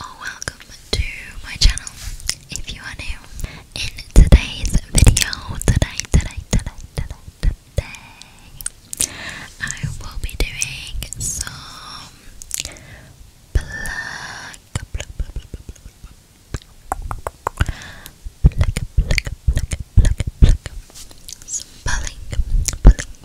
or welcome to my channel if you are new. In today's video, today, today, today, today, today, I will be doing some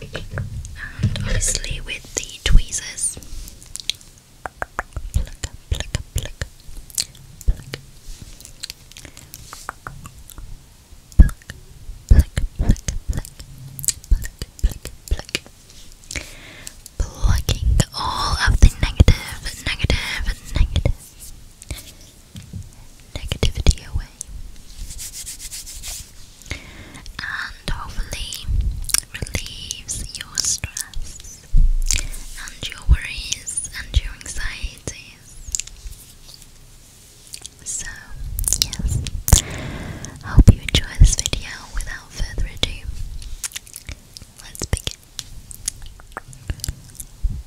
and obviously with the tweezers pluck, pluck, pluck, pluck. Pluck, pluck, pluck, pluck, pluck, pluck, pluck. Plucking all of the negative, negative, negative negativity away and hopefully relieves your stress and your worries and your anxieties. So, yes, hope you enjoy this video. Without further ado, let's begin.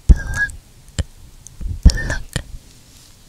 Pluck, pluck,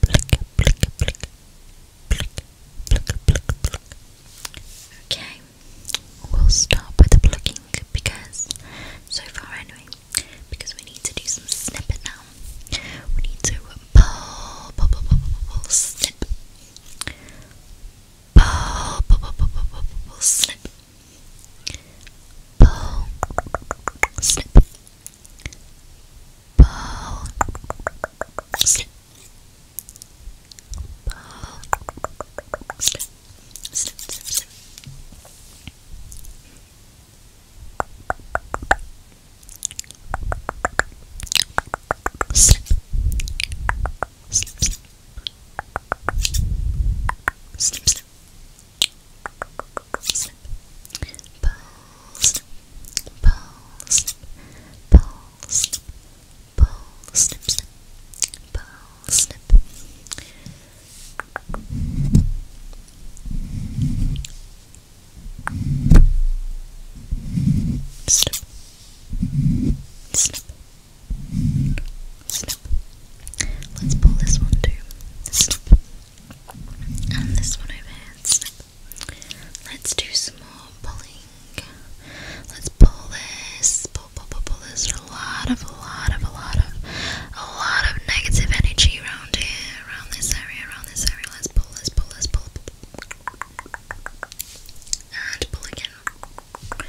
Pluck, pluck, pluck, pluck, pluck, pluck. Okay, we'll start with the plucking because, so far anyway, because we need to do some snippet now. We need to pull, pull, pull, pull, pull, snip. Pull, pull, pull, pull, pull, pull, snip. Pull, snip. Pulse. Pulse. Snip, snip, snip. Snip. Snip, snip. Snip, snip. Snip. Pull, snip. Pull, snip. Pull, snip. Pull, snip, snip. Pull, snip. Snip. Snip. Snip. Snip. Let's pull this one too. And this one over here. Let's do some more pulling. Let's pull this. Pull, pull, pull, pull. There's a lot of, a lot of, a lot of, a lot of negative energy around here, around this area, around this area. Let's pull, let's pull, let's pull. And pull again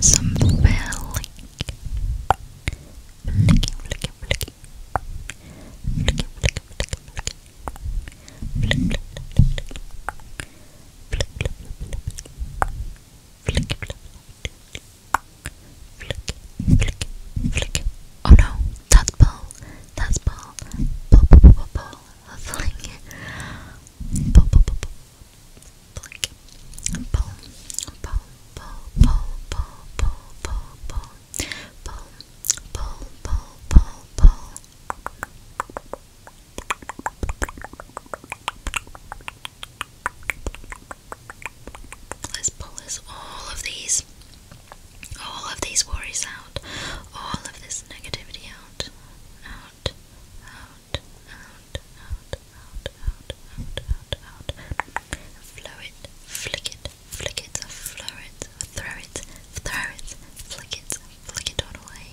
some failing. Flicking, flicking, flicking. Flicking, flicking, flicking, flicking. Flick, flick, flick, flick, flick. Flick, flick, flick, flick. Flick, flick. Oh no, that's ball. That's ball. Ball, ball, ball, ball. Fling. Ball, ball, ball, ball. Pull, pull, pull, pull, pull, pull, pull, pull, pull, pull, pull, pull, pull. Let's pull this all of these, all of these worries out, all of this negativity out, out, out, out, out, out, out, out, out, out, out. Flow it, flick it, flick it, flow it, throw it, throw it, flick it, flick it all away.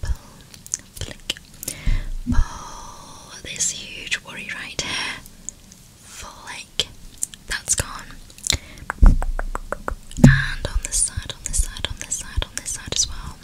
Pull, flick, pull this huge worry right here. Flick, that's gone. And on this side, on this side, on this side, on this side as well.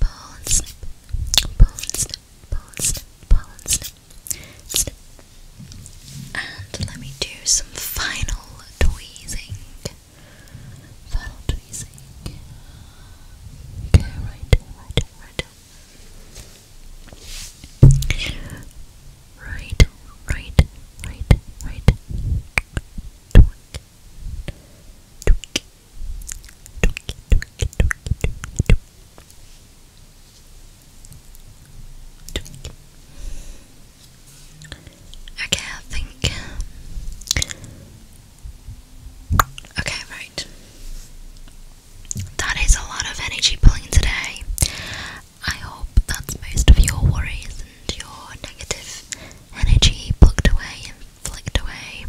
pull and snip, pull and snip, pull and snip, pull and snip, snip. And let me do some final tweezing. Final tweezing. Okay, right, right, right. Right, right, right, right. Tweak, tweak, Okay, I think. Um, okay, right. That is a lot of energy pulling today. I hope that's most of your worries your negative energy plugged away and flicked away.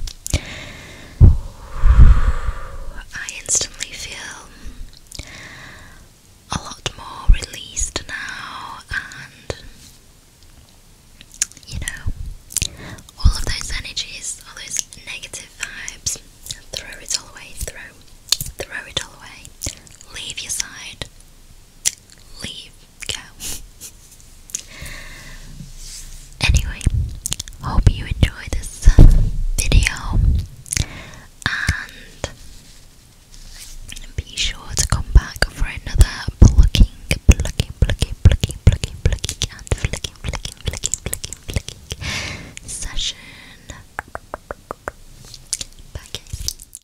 I instantly feel a lot more released now, and you know, all of those energies, all those negative vibes, throw it all away, throw, throw it all away, leave your side, leave, anyway, hope you enjoy this video and be sure to come back for another plucking, plucking, plucking, plucking, plucking, plucking, and flicking, flicking, flicking, flicking, flicking session. Bye